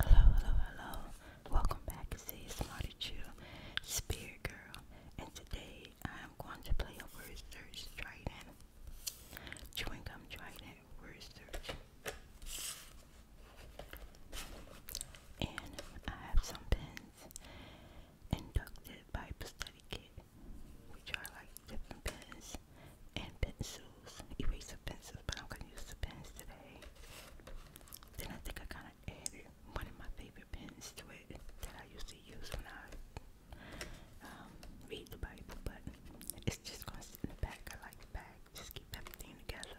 Hello, hello, hello. Welcome back to See Smarty Chew Spirit Girl. And today I am going to play a word search trident. Chewing gum trident word search. And I have some pens inducted Bible study kit, which are like different pens and pencils, eraser pencils, but I'm gonna use the pens today. Then I think I kind of added one of my favorite pens to it that I used to use when I um, read the Bible, but it's just gonna sit in the back. I like the back, just keep everything together.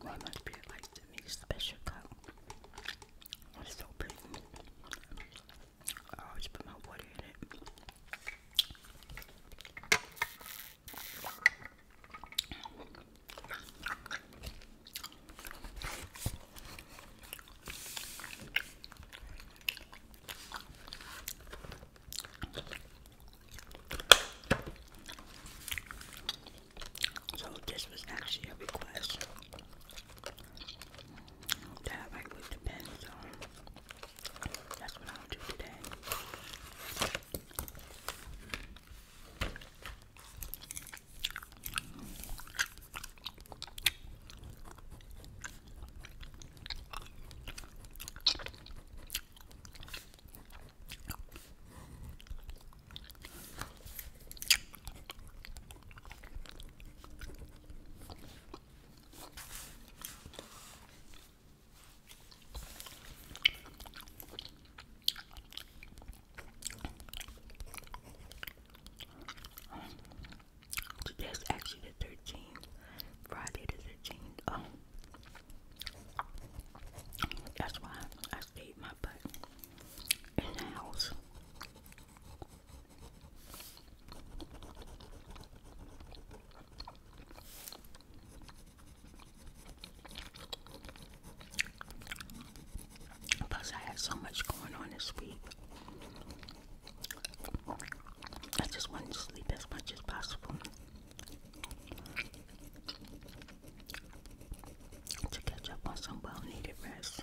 Why must be like to me special cup? It's so pretty. I always put my water in it. So this was actually a request that I would depend on. That's what I'll do today. Today's actually the 13th, Friday the 13th. That's why I stayed my butt in the house. Plus, I had so much going on this week. I just want to sleep as much as possible to catch up on some well needed rest.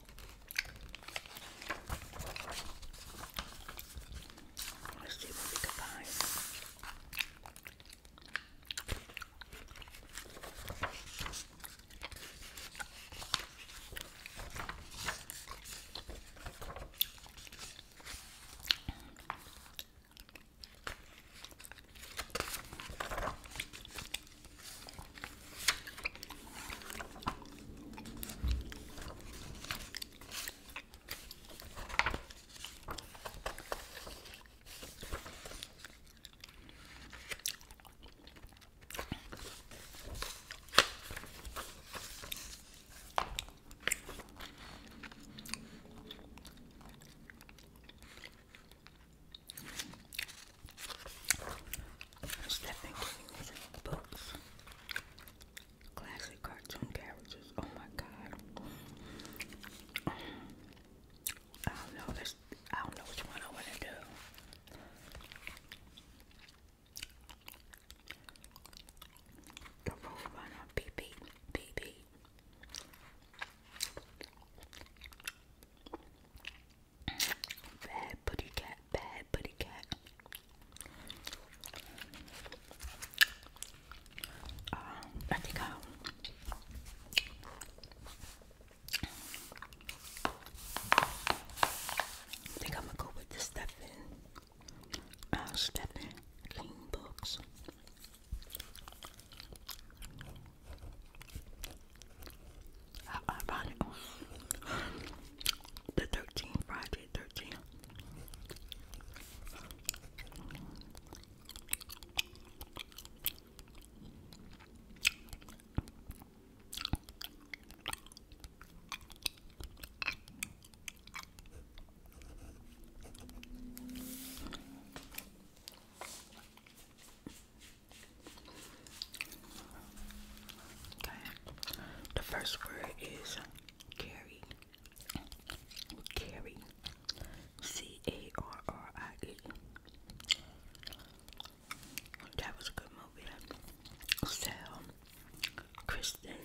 Let's see what we can find. Stepping in books classic cartoon characters. Oh my god. I don't know this I don't know which one I wanna do. The roof one on beep beep Bad buddy cat, bad buddy cat. Um, I think i am gonna go with the Stephen uh, Stephen King books. I, I the 13th Friday, Okay. The first word is carried, carried, C A R R I E. That was a good movie. Sal, Kristen,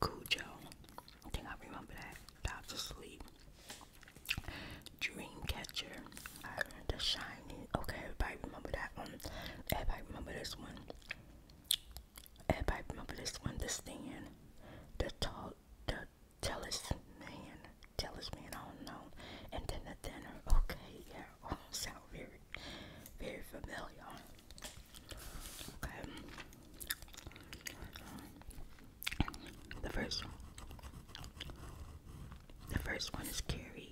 Cujo. I think I remember that. Doctor Sleep, Dreamcatcher, The Shining. Okay, everybody remember that one. Everybody remember this one. Everybody remember this one, the stand, the tall, the tallest man, tallest man, I don't know, and then the dinner, okay, yeah, all oh, sound very, very familiar, okay, the first one, the first one is Carrie,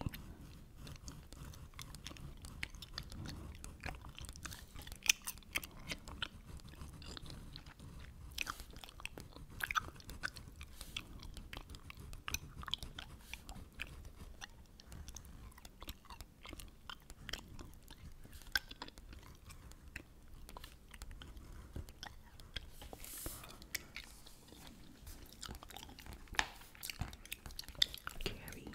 Carrie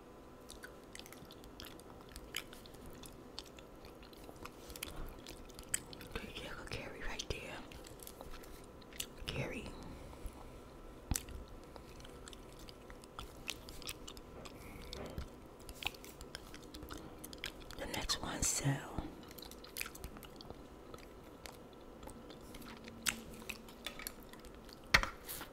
Yeah, go carry right there. Carry. The next one sell.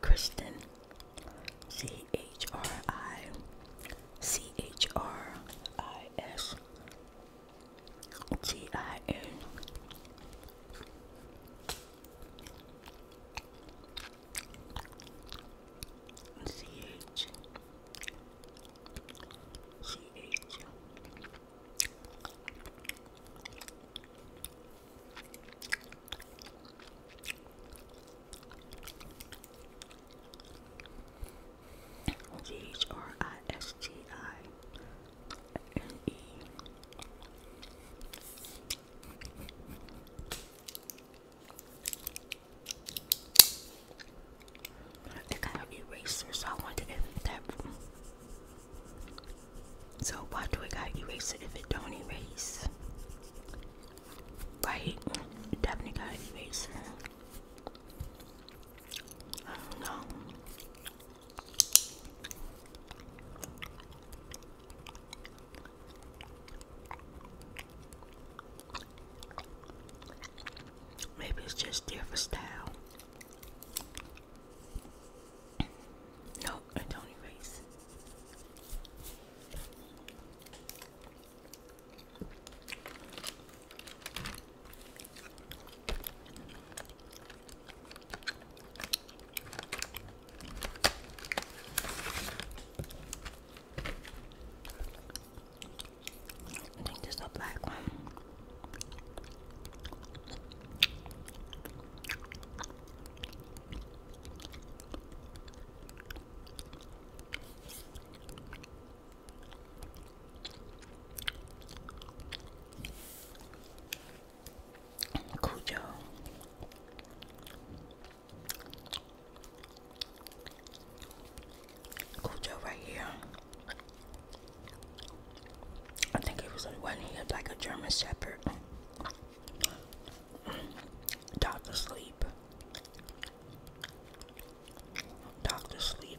Kristen C H R I C H R I S G I N. C H C H G H R I S T I and kind of erasers, so I want that. So why do I gotta it if it don't erase? Right? definitely gotta I don't know. Maybe it's just different style. No, I don't erase. I think this is a black one. Cuyo. Cuyo right here. I think it was the one he had like a German Shepherd. Doctor sleep. Doctor sleep.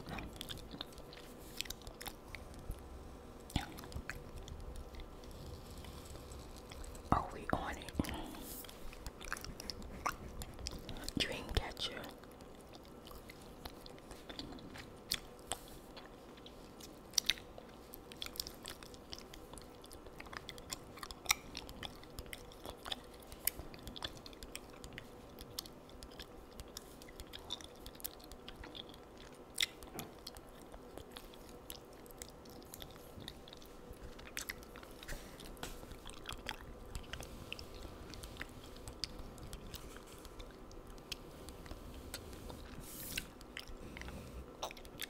Are we on it? Dreamcatcher.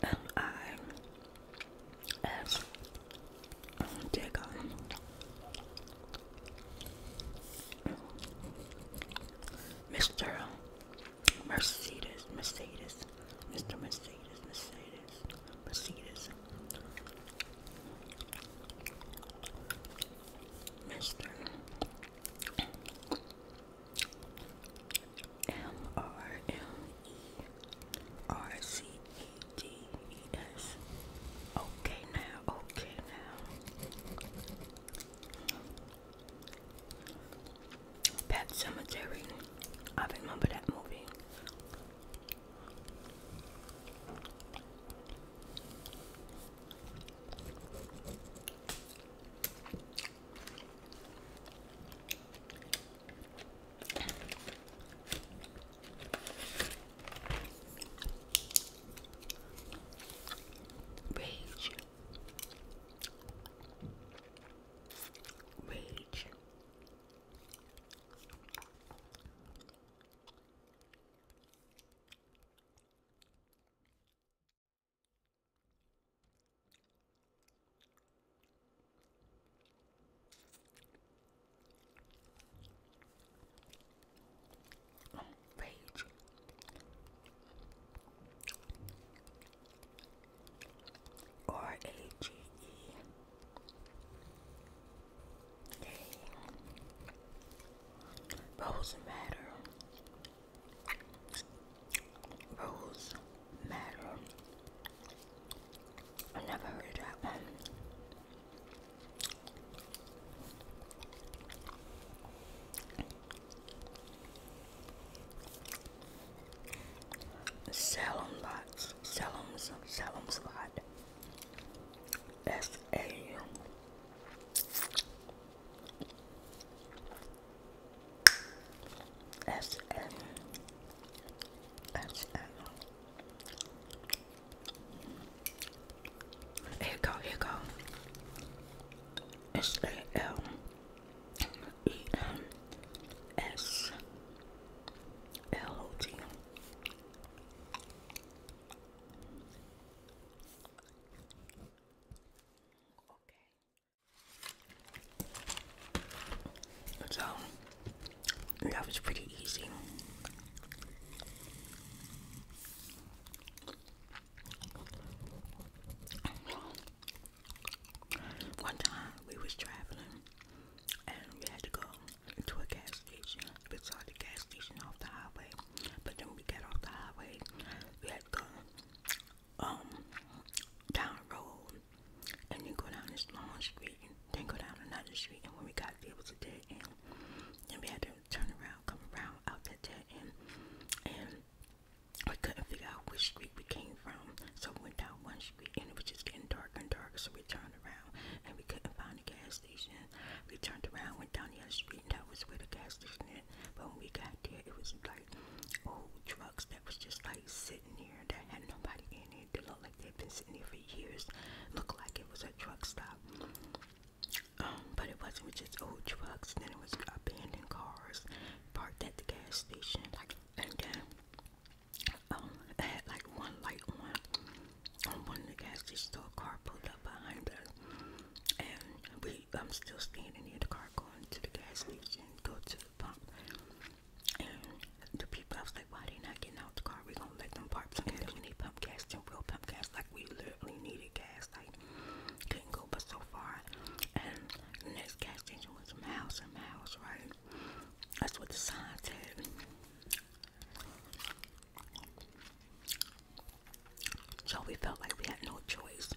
And I dig on Mr. Mercedes, Mercedes, Mr. Mercedes, Mercedes, Mercedes, Mr. M R M E R C E D E S. Okay now, okay now. Pet Cemetery. I remember that movie. Rage. Rage page. R A G E. Rose matter. Rose matter. I never heard that Sell them lots. Sell them some. Sell them slot. S A U. S A U. S A U. Here go, here go. S a l e m s l o t. Okay. So that was pretty easy. One time we was traveling and we had to go to a gas station. We saw the gas station off the highway, but then we got off the highway. We had to um down road and then go down this long street, then go down another street. And when we got to the end. Then we had to turn around, come around out that dead end, and we couldn't figure out which street we came from, so we went down one street and it was just getting darker and darker. So we turned around and we couldn't find the gas station. We turned around, went down the other street, and that was where the gas station is. But when we got there, it was like old trucks that was just like sitting there that had nobody in it. They looked like they'd been sitting there for years. Looked like it was a truck stop. Um, but it wasn't with just old trucks, then it was abandoned cars parked at the gas station, like and um I had like one light on one gas station so car pulled up behind us and we I'm still standing near the car going to the gas station, go to the pump and the people I was like, Why they not getting out the car? We're gonna let them park We need they pump gas and real pump gas like we literally needed gas like couldn't go but so far. And next gas station was miles and miles, right? That's what the sign said. So we felt like we had no choice.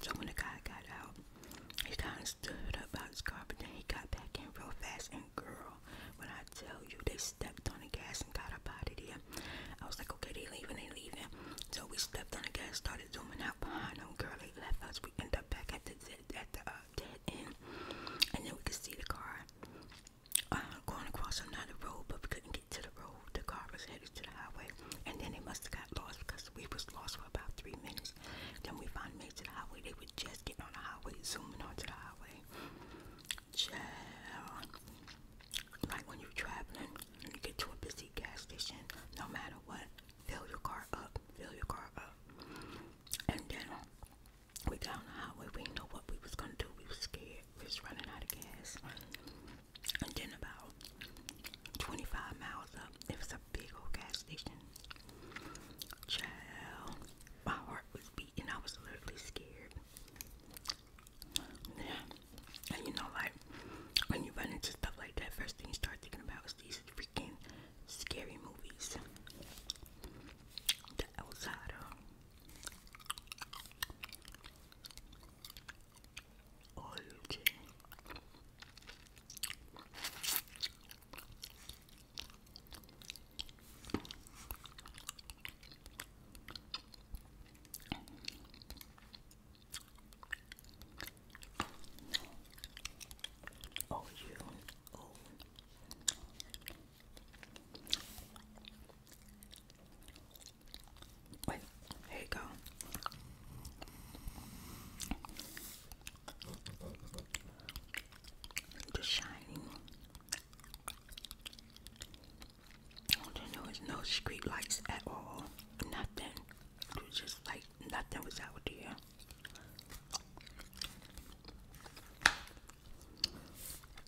So when the guy got out, he kind of stood up out his car, but then he got back in real fast. And girl, when I tell you, they stepped on the gas and got a body, there. I was like, okay, they leaving, they leaving. So we stepped on the gas, started zooming out behind them. Girl, left us. We end up back at the at the uh, dead end, and then we can see the car uh, going across another road, but we couldn't get to the road. The car was headed to the highway, and then they must have got lost because we was lost for about three minutes. Then we finally made to the highway. They were just getting on the highway, zooming onto the highway. Child. when you're traveling you get to a busy gas station, no matter what, fill your car up, fill your car up. And then we got on the highway, we didn't know what we was gonna do. We was scared, we was running out of gas. And then about 25 miles up, it was a big old gas station. Child, my heart was beating. I was literally scared. Yeah. And you know, like when you run into stuff like that, first thing you start thinking about is these freaking scary movies. Oh, you. Oh. Wait, here you go. The shining. There was no street lights at all. Nothing. It was just like nothing was out there.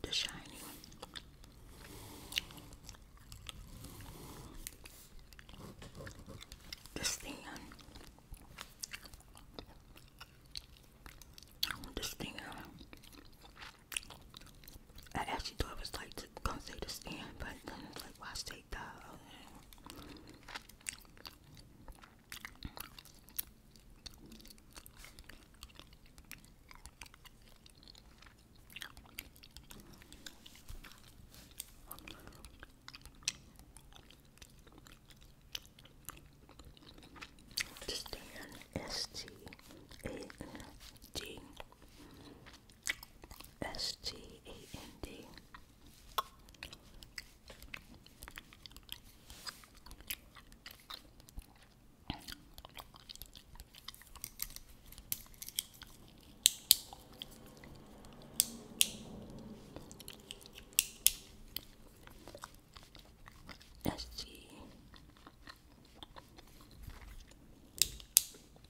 The shiny. The stand. The stand. I actually thought it was like to gonna say the stand, but then it's like, why take that? Stan S T A N D S T A N D. S T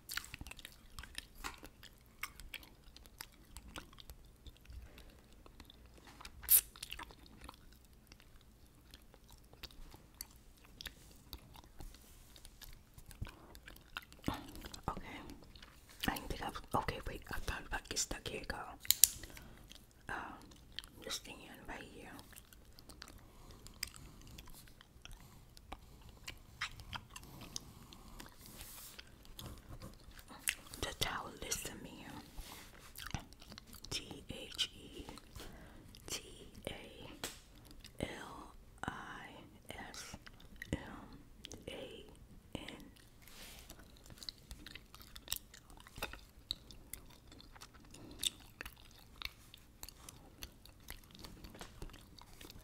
Okay. I think I've okay wait, I thought about get stuck here go. Um this thing right here. The Talismanian T H E T A L I S M A N.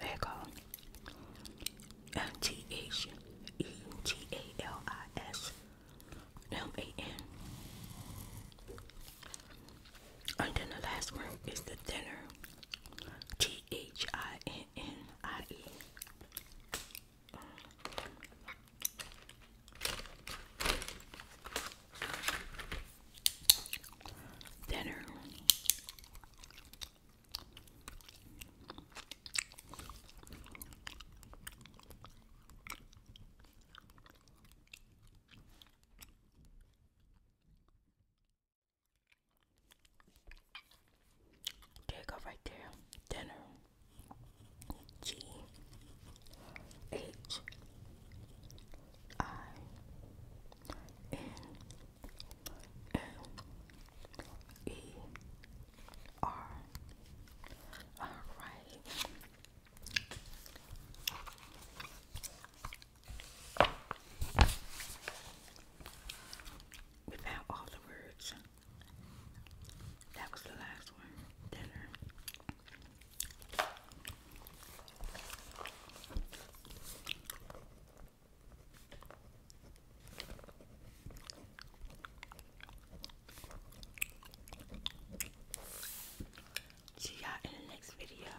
There you go. T H E T A L I S M A N. And then the last one is the thinner. T H I N N I E. Dinner. There go right there. Dinner. G H I N N E R. All right. We all the words. That was the last one. Dinner. See ya in the next video.